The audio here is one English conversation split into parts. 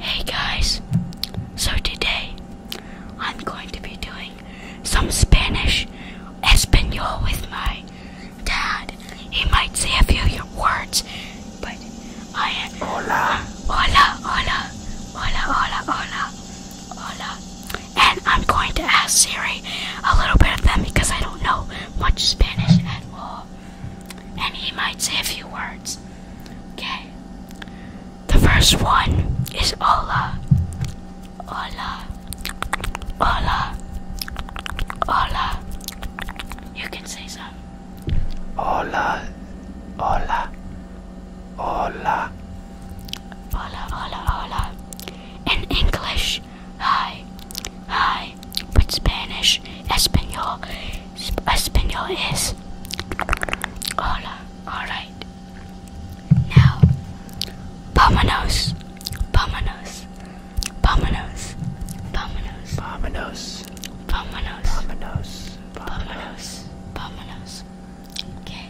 Hey guys, so today I'm going to be doing some Spanish Espanol with my dad. He might say a few words, but I am. Hola. Hola, hola, hola, hola, hola, hola. And I'm going to ask Siri a little bit of them because I don't know much Spanish at all people, and he might say a few words. Okay. The first one is Ola. Ola. Ola. Ola. You can say some. Ola. Ola. Ola. Ola, ola, ola. In English, hi, hi, but Spanish, Espanol, Sp Espanol is hola, alright. Now, vámonos, vámonos, vámonos, vámonos, vámonos, vámonos, vámonos, vámonos, vámonos, okay.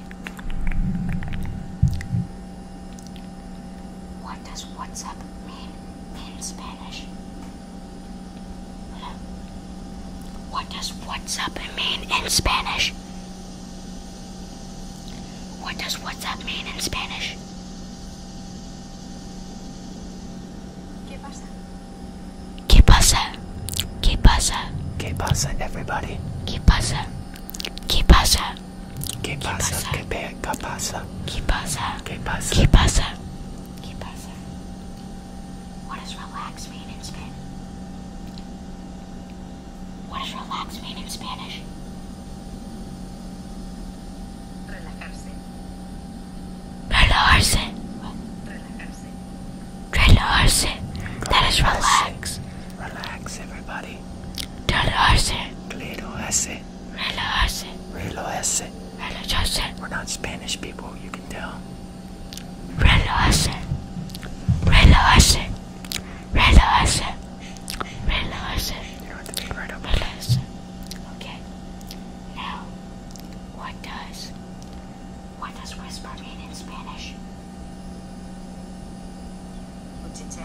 What does what's up mean in Spanish? What does what's up mean in Spanish? What does what's up mean in Spanish? ¿Qué pasa? ¿Qué pasa? ¿Qué pasa? ¿Qué pasa, everybody? ¿Qué pasa? ¿Qué pasa? ¿Qué pasa? ¿Qué pasa? ¿Qué pasa? Keep us up. Keep us up. Keep us up. What does relax mean in Spanish? What does relax mean in Spanish? Relajarse. Relajarse. What? Relajarse. Relajarse. Relajarse. That is relax. Relax, everybody. Relajarse. Claro, Relájese. Relájese. Relájese. We're not Spanish people, you can tell. Relájese. Relájese. Relájese. Relájese. You're to be right up. Okay. Now, what does what does whisper mean in Spanish? What's it say?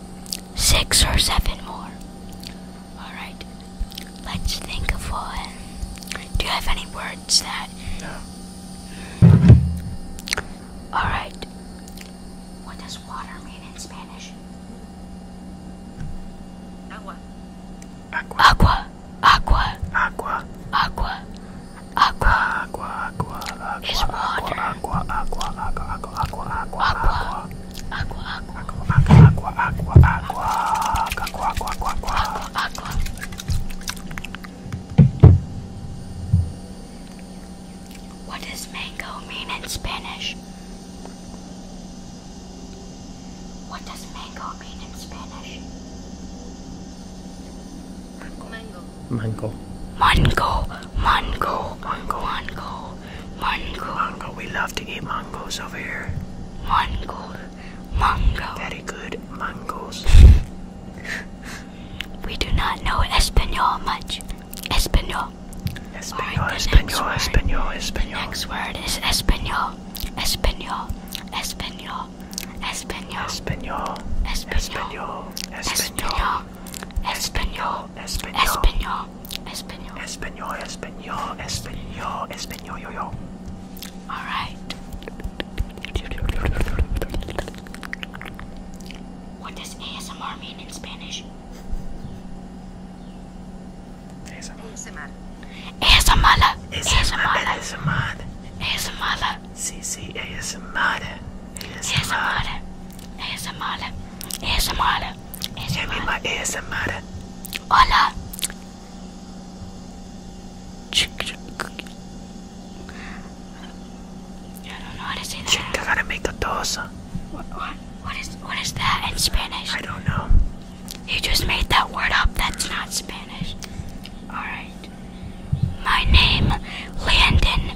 six or seven more. Alright, let's think of one. Do you have any words that. No. Alright. What does water mean in Spanish? Agua. Aqua. Aqua. Aqua. Aqua. Aqua. Aqua. Aqua is water. Aqua, aqua, aqua, aqua, aqua, aqua, aqua, aqua, aqua, aqua, aqua, aqua, aqua, aqua, aqua. What does mango mean in Spanish? What does mango mean in Spanish? Mango. Mango. Mango, mango, mango, mango, mango. Mango, we love to eat mangoes over here. Mango, mango. Very good mangoes. we do not know Espanol much. Espanol. Espanol, right, Espanol, Espanol, Espanol. The next word is Espanol. Espanol, Espanol, Espanol. Espanol, Espanol, Espanol. Espanol. Espanol. Espanol, Espanol, Espanol, Espanol, Espanol, Espanol, Espanol, Espanol, yo yo. All right. What does ASMR mean in Spanish? ASMR. ASMR. ASMR. ASMR. ASMR. Sí, sí, ASMR. ASMR. ASMR. ASMR. ASMR. Give me my ASMR. Hola. I don't know how to say that. Chica what, what, what is what is that in Spanish? I don't know. You just made that word up. That's not Spanish. All right. My name, Landon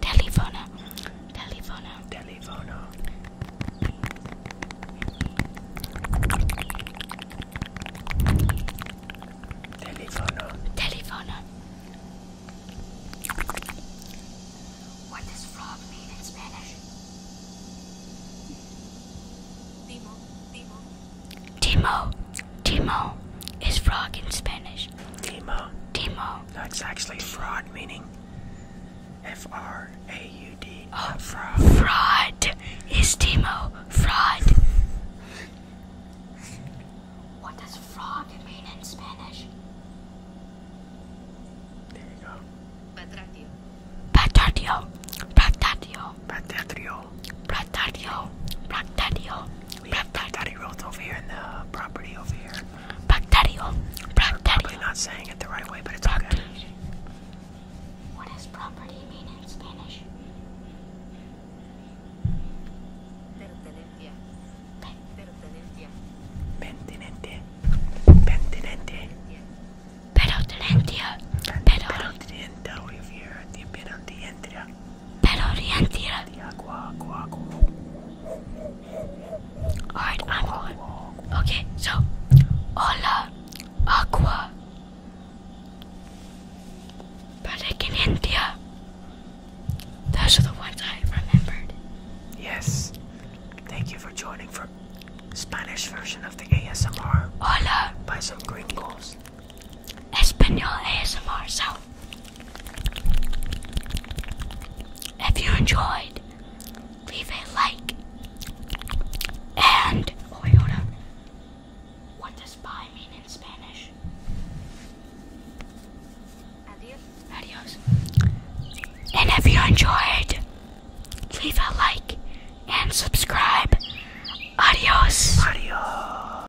Telefono. Telefono. Telefono. Telefono. Telefono. What frog in Spanish? Timo. Timo is frog in Spanish. Spanish. Timo. That's actually fraud, meaning F R A U D. Oh, fraud. is Timo. Fraud. what does fraud mean in Spanish? There you go. Patratio. Patratio. Patratio. Patratio. Patratio. Patratio. Black Bacterio over here in the property over here. Bacterio. Bacterio. Probably not saying it the right way, but it's okay. What does property mean in Spanish? Pertenencia. Pertenencia. Pertinente. Pertinente. Pertinente. Pertinente. Pertinente. Pertinente. Better orient here. Alright, I'm going. Okay, so hola aqua. But like in India. Those are the ones I remembered. Yes. Thank you for joining for Spanish version of the ASMR. Hola. By some gringos. Espanol ASMR. So, if you enjoyed, leave a like. And, oh, What does bye mean in Spanish? Adios. Adios. And if you enjoyed, leave a like and subscribe. Adios. Adios.